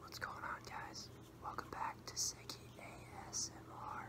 What's going on guys? Welcome back to Seki ASMR.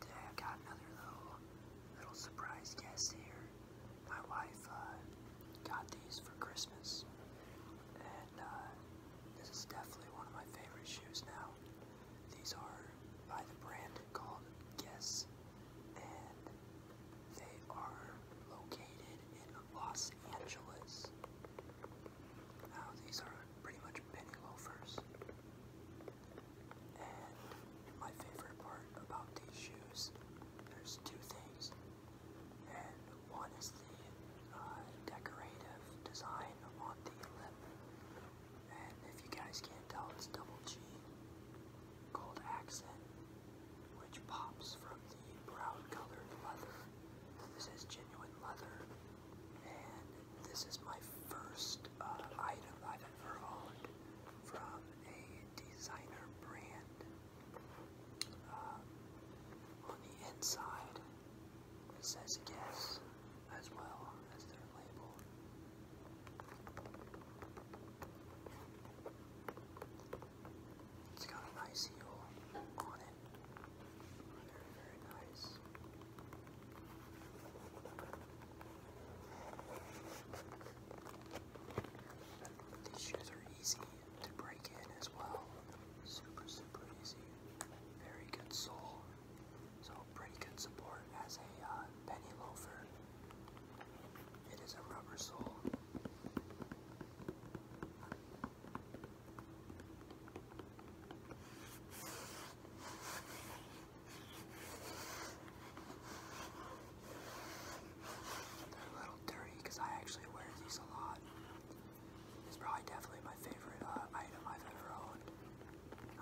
Today I've got another little little surprise guest here. My wife uh, got these for Christmas and uh, this is definitely one of my favorite shoes now. These are by the brand called Guess, and they are located in Los Angeles. Now, these are pretty much penny loafers. And my favorite part about these shoes, there's two things and one is the uh, decorative design on the lip. And if you guys can't tell, it's double G gold accent, which pops from the brown colored leather. This is genuine leather, and this is my first uh, item I've ever owned from a designer brand. Uh, on the inside, it says guess as well as their label. It's got a nice on it. Very, very nice. These shoes are easy to break in as well. Super, super easy. Very good sole. So pretty good support as a uh, penny loafer. It is a rubber sole. They're a little dirty because I actually wear these a lot. It's probably definitely my favorite uh, item I've ever owned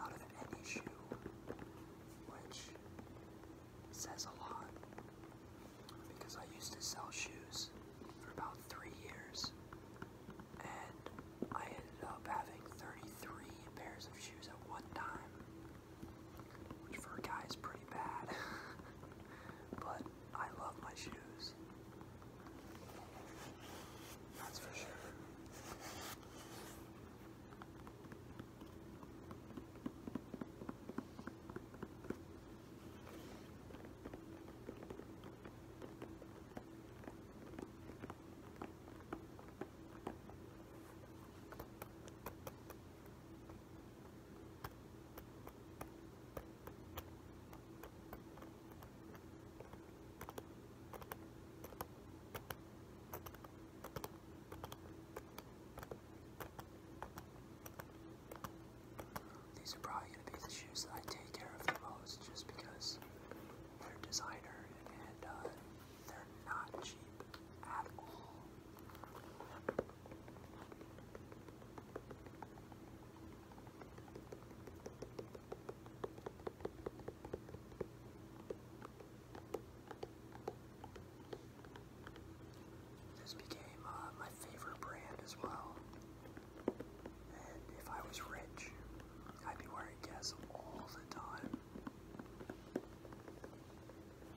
out of any shoe, which says a lot because I used to sell shoes for about three years and I ended up having 33 pairs of shoes at one time, which for a guy is pretty bad. but I love my shoes. That's for sure. These are probably going to be the shoes that I take care of the most just because they're designer and uh, they're not cheap at all. This became uh, my favorite brand as well. And if I was rich, I'd be wearing Guess all the time.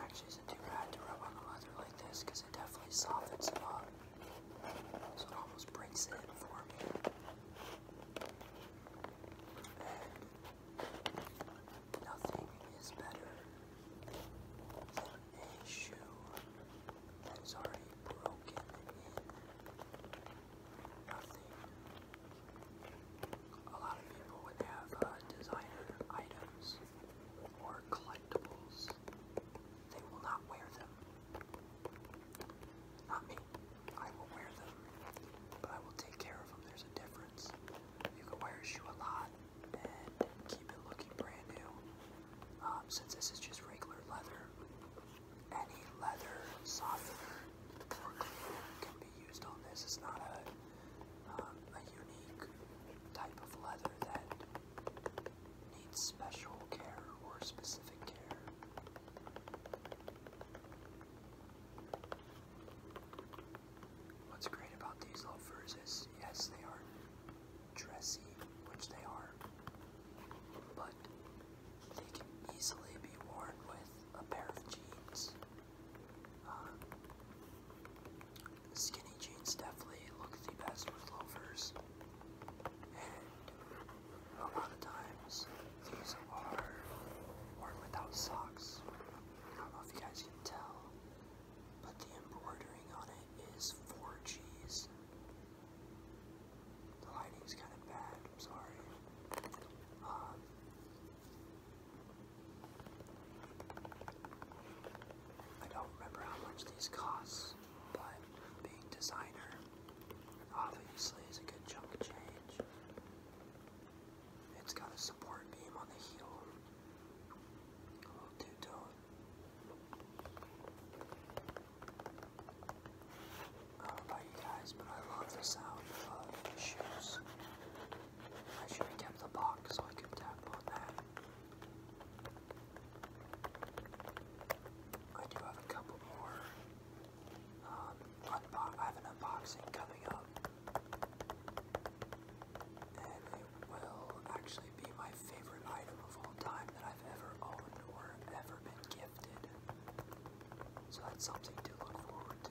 Actually, isn't too bad to rub on the leather like this because it definitely softens it up. So it almost breaks it in for me. And Nothing is better than a shoe that is already broken Nothing. A lot of people would have uh, designer items or collectibles. They will not wear them. Not me. I will wear them, but I will take care of them. There's a difference. You can wear a shoe a lot and keep it looking brand new. Um, since this is just regular leather, any leather softener or cleaner can be used on this. It's not a um, a unique type of leather that needs special care or specific care. What's great about these loafers is, yes, they are dressy, which they are, but they can easily be worn with a pair of jeans. Uh, skinny jeans definitely look the best with loafers, a lot of times these are worn without socks. I don't know if you guys can tell, but the embroidery on it is 4Gs. The lighting's kind of bad, I'm sorry. Um, I don't remember how much these cost, but being designer, obviously is a good chunk of change. It's got a support beam on the heel. A little two-tone. I don't know about you guys, but I love the sound of uh, shoes. I should have the box so I could tap on that. I do have a couple more um, I have an unboxing coming up. And it will actually be my favorite item of all time that I've ever owned or ever been gifted. So that's something to look forward to.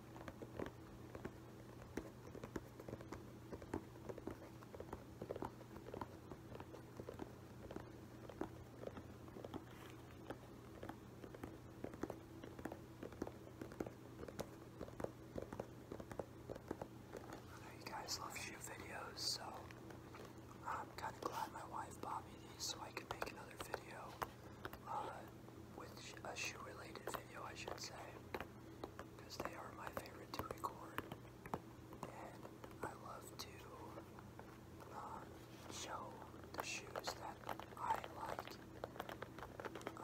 I know you guys love shoe videos, so I'm kind of glad my wife bought me these so I can make another video. Uh, with a shoe related video, I should say, because they are my favorite to record, and I love to uh, show the shoes that I like,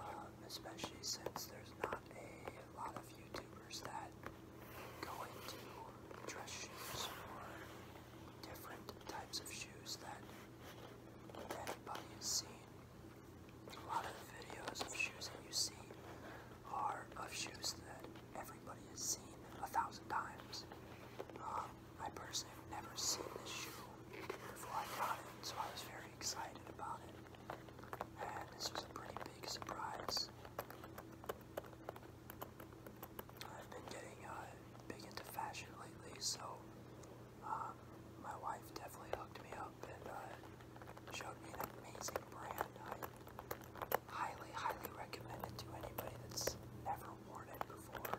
um, especially since there's not a lot of YouTubers that go into dress shoes or different types of shoes that if anybody has seen a lot of the videos of shoes that you see are of shoes that everybody has seen a thousand times. Um, I personally have never seen this shoe before I got it, so I was very excited about it. And this was a pretty big surprise. I've been getting uh, big into fashion lately, so um, my wife definitely hooked me up and uh, showed me an amazing brand. I highly, highly recommend it to anybody that's never worn it before.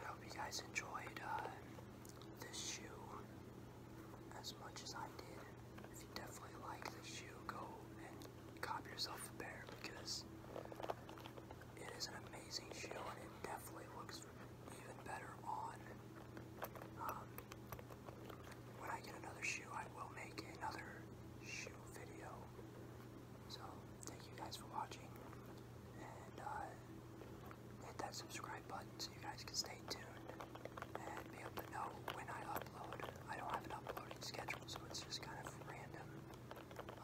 I hope you guys enjoyed uh, this shoe as much as I did. If you definitely like this shoe, go and cop yourself a pair because it is an amazing shoe and it definitely looks even better on. Um, when I get another shoe, I will make another shoe video. So, thank you guys for watching, and uh, hit that subscribe button so you guys can stay tuned and be able to know when I upload. I don't have an uploading schedule, so it's just kind of random.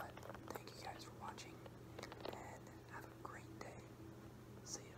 But thank you guys for watching and have a great day. See ya.